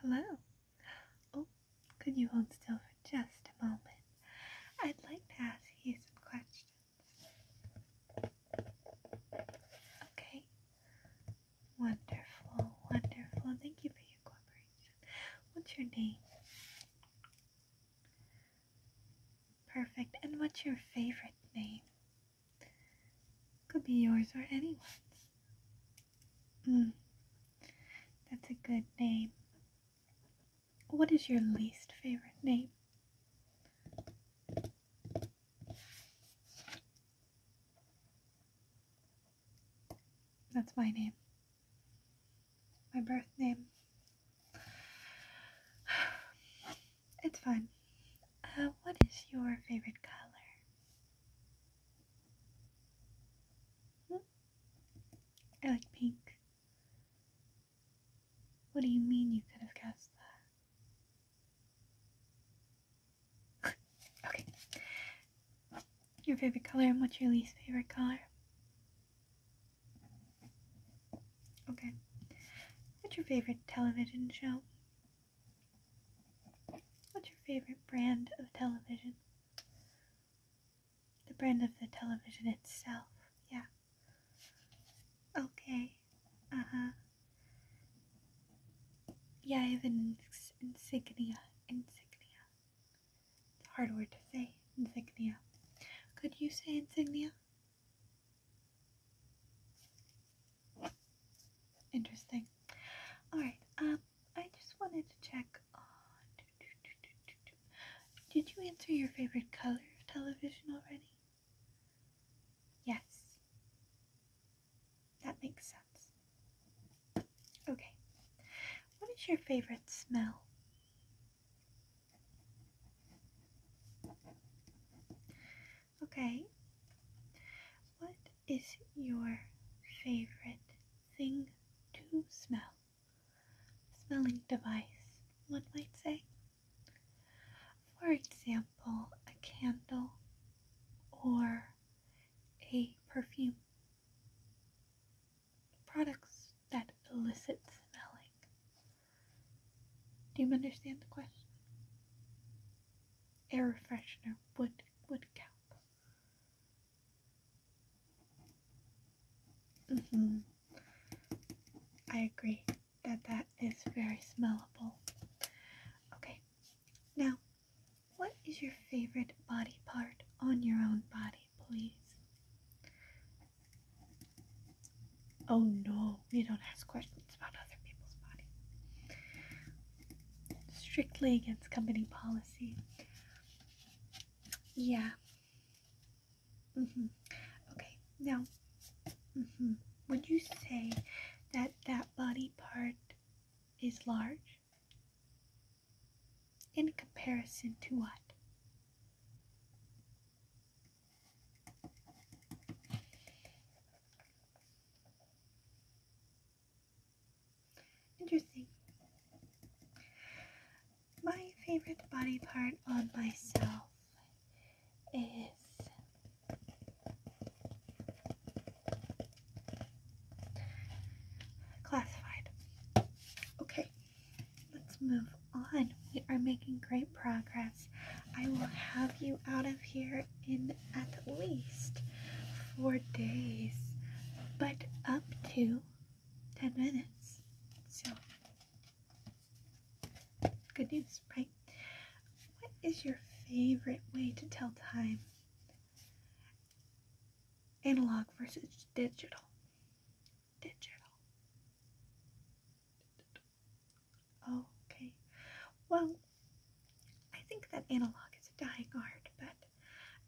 Hello. Oh, could you hold still for just a moment? I'd like to ask you some questions. Okay. Wonderful, wonderful. Thank you for your cooperation. What's your name? Perfect. And what's your favorite name? Could be yours or anyone's. Mm. That's a good name. What is your least favorite name? That's my name. My birth name. It's fine. Uh, what is your favorite color? I like pink. What do you mean you could have guessed that? okay. Your favorite color and what's your least favorite color? Okay. What's your favorite television show? What's your favorite brand of television? The brand of the television itself, yeah. Okay, uh huh. Yeah, I have an insignia. Insignia. It's a hard word to say. Insignia. Could you say insignia? Interesting. Alright, um, I just wanted to check Did you answer your favorite color of television already? Yes. That makes sense. Okay. What is your favorite smell? Okay. What is your favorite thing to smell? Smelling device, one might say. For example, a candle or a perfume. Products that elicit smelling. Do you understand the question? Air freshener would would count. Mm -hmm. I agree that that is very smellable. Okay, now what is your favorite body part on your own body, please? Oh no, we don't ask questions about other people's body strictly against company policy. Yeah. Mm-hmm. Okay, now, mm-hmm. would you say that that body part is large? In comparison to what? Interesting. My favorite body part on myself is classified. Okay, let's move on. We are making great progress. I will have you out of here in at least four days, but up to 10 minutes. So, good news, right? What is your favorite way to tell time? Analog versus digital. Digital. digital. Okay. Well, I think that analog is a dying art, but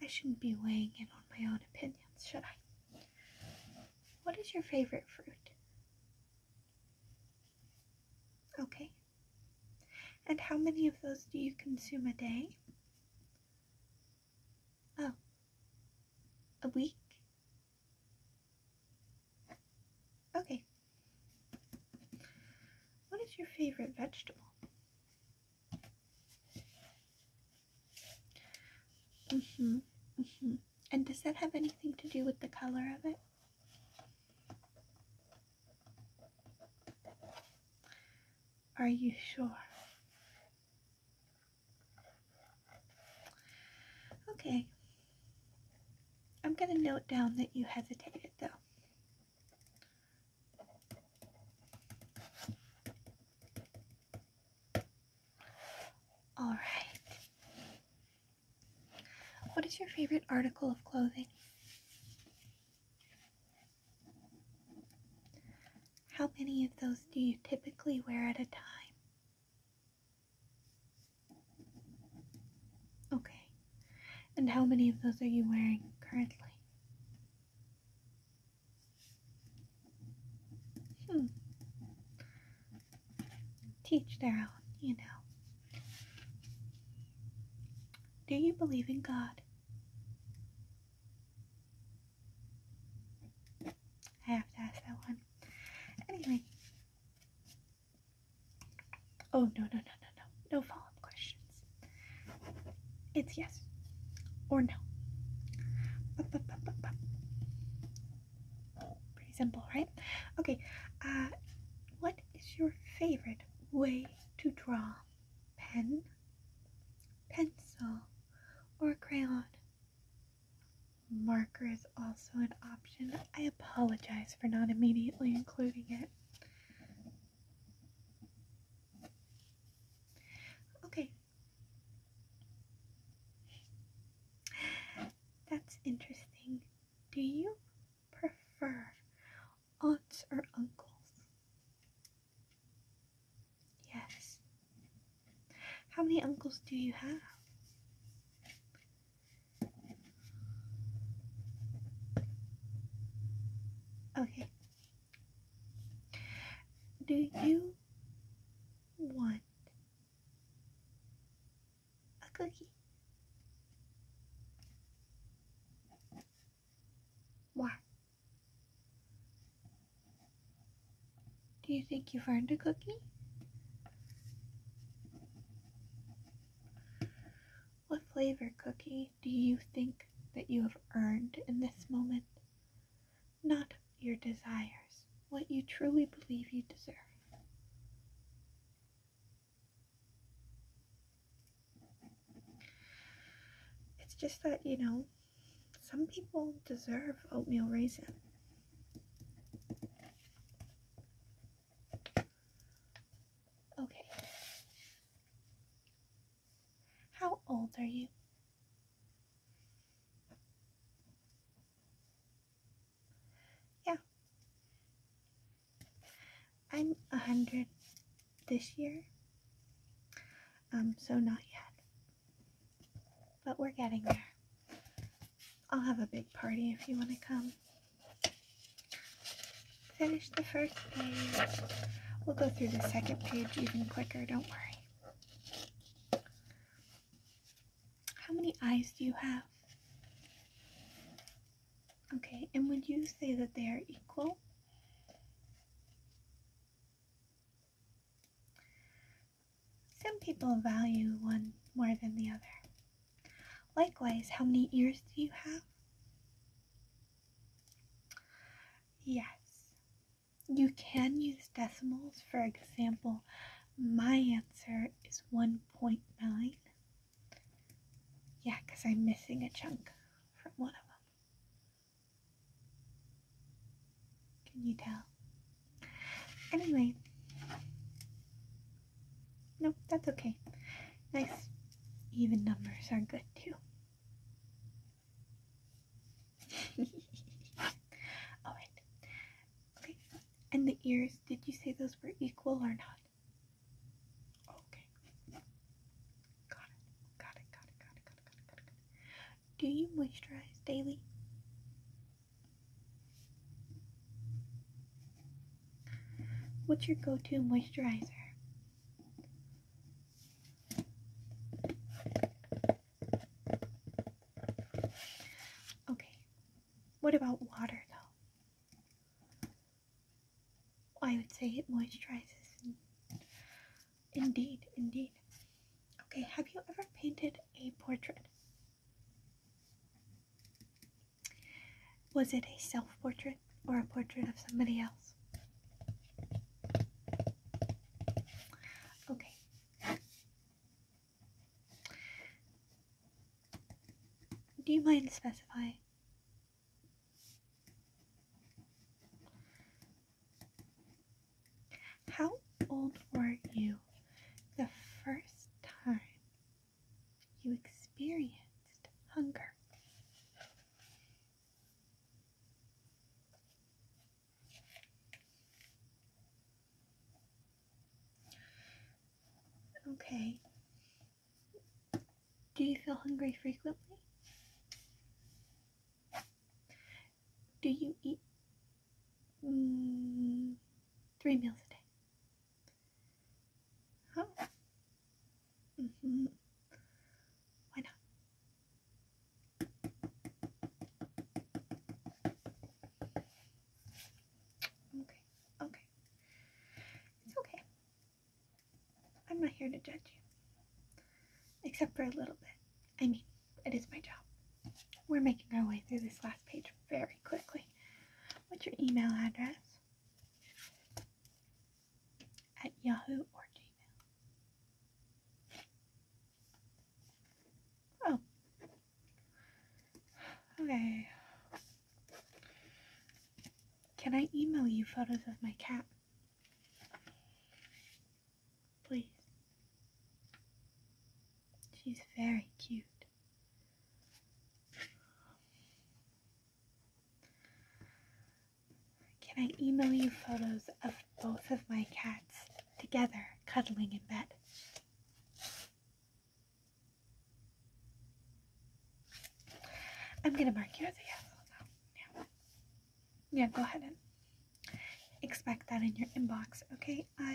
I shouldn't be weighing in on my own opinions, should I? What is your favorite fruit? Okay. And how many of those do you consume a day? Oh. A week? Okay, what is your favorite vegetable? hmm hmm And does that have anything to do with the color of it? Are you sure? Okay. I'm going to note down that you hesitated, though. All right. What is your favorite article of clothing? How many of those do you typically wear at a time? Okay. And how many of those are you wearing currently? Hmm. Teach their own, you know. Do you believe in God? I have to ask that one. Anyway, Oh, no, no, no, no, no. No follow up questions. It's yes or no. Pretty simple, right? Okay. Uh, what is your favorite way to draw? Pen, pencil, or crayon? Marker is also an option. I apologize for not immediately including it. Okay. That's interesting. Do you prefer aunts or uncles? Yes. How many uncles do you have? Okay. Do you want a cookie? Why? Do you think you found a cookie? What flavor cookie do you think that you have earned in this moment? Not your desires, what you truly believe you deserve. It's just that, you know, some people deserve oatmeal raisin. Okay, how old are you? Yeah. I'm a hundred this year. Um, so not yet. But we're getting there. I'll have a big party if you want to come. Finish the first page. We'll go through the second page even quicker, don't worry. How many eyes do you have? Okay, and would you say that they are equal? Some people value one more than the other. Likewise, how many ears do you have? Yes, you can use decimals. For example, my answer is 1.9. Yeah, because I'm missing a chunk from one of them. Can you tell? Anyway, no, that's okay. Nice even numbers are good too. Alright. Okay. And the ears, did you say those were equal or not? Okay. Got it. Got it. Got it. Got it. Got it. Got it. Got it. Do you moisturize daily? What's your go-to moisturizer? Okay, what about water though? I would say it moisturizes. Indeed, indeed. Okay, have you ever painted a portrait? Was it a self portrait or a portrait of somebody else? Okay. Do you mind specifying? How old were you the first time you experienced hunger. Okay. Do you feel hungry frequently? Do you eat mm, three meals a day? Huh? -hmm. Why not? Okay, okay. It's okay. I'm not here to judge you. Except for a little bit. I mean, it is my job. We're making our way through this last page very quickly. What's your email address? at Yahoo or Gmail. Oh. Okay. Can I email you photos of my cat? Please. She's very cute. Can I email you photos of both of my cats together cuddling in bed? I'm gonna mark you as a yes Yeah. yeah, go ahead and expect that in your inbox. Okay, can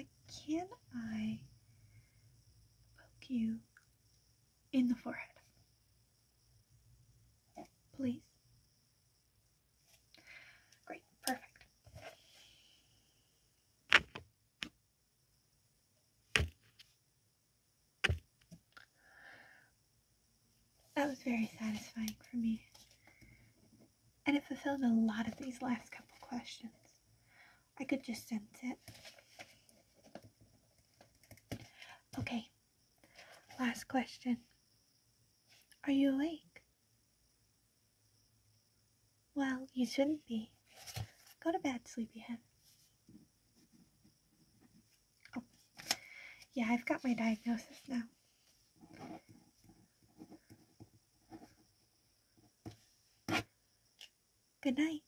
I poke you in the forehead. Please. Great, perfect. That was very satisfying for me. And it fulfilled a lot of these last couple questions. I could just sense it. Okay, last question. Are you awake? Well, you shouldn't be. Go to bed, sleepyhead. Oh, yeah, I've got my diagnosis now. Good night.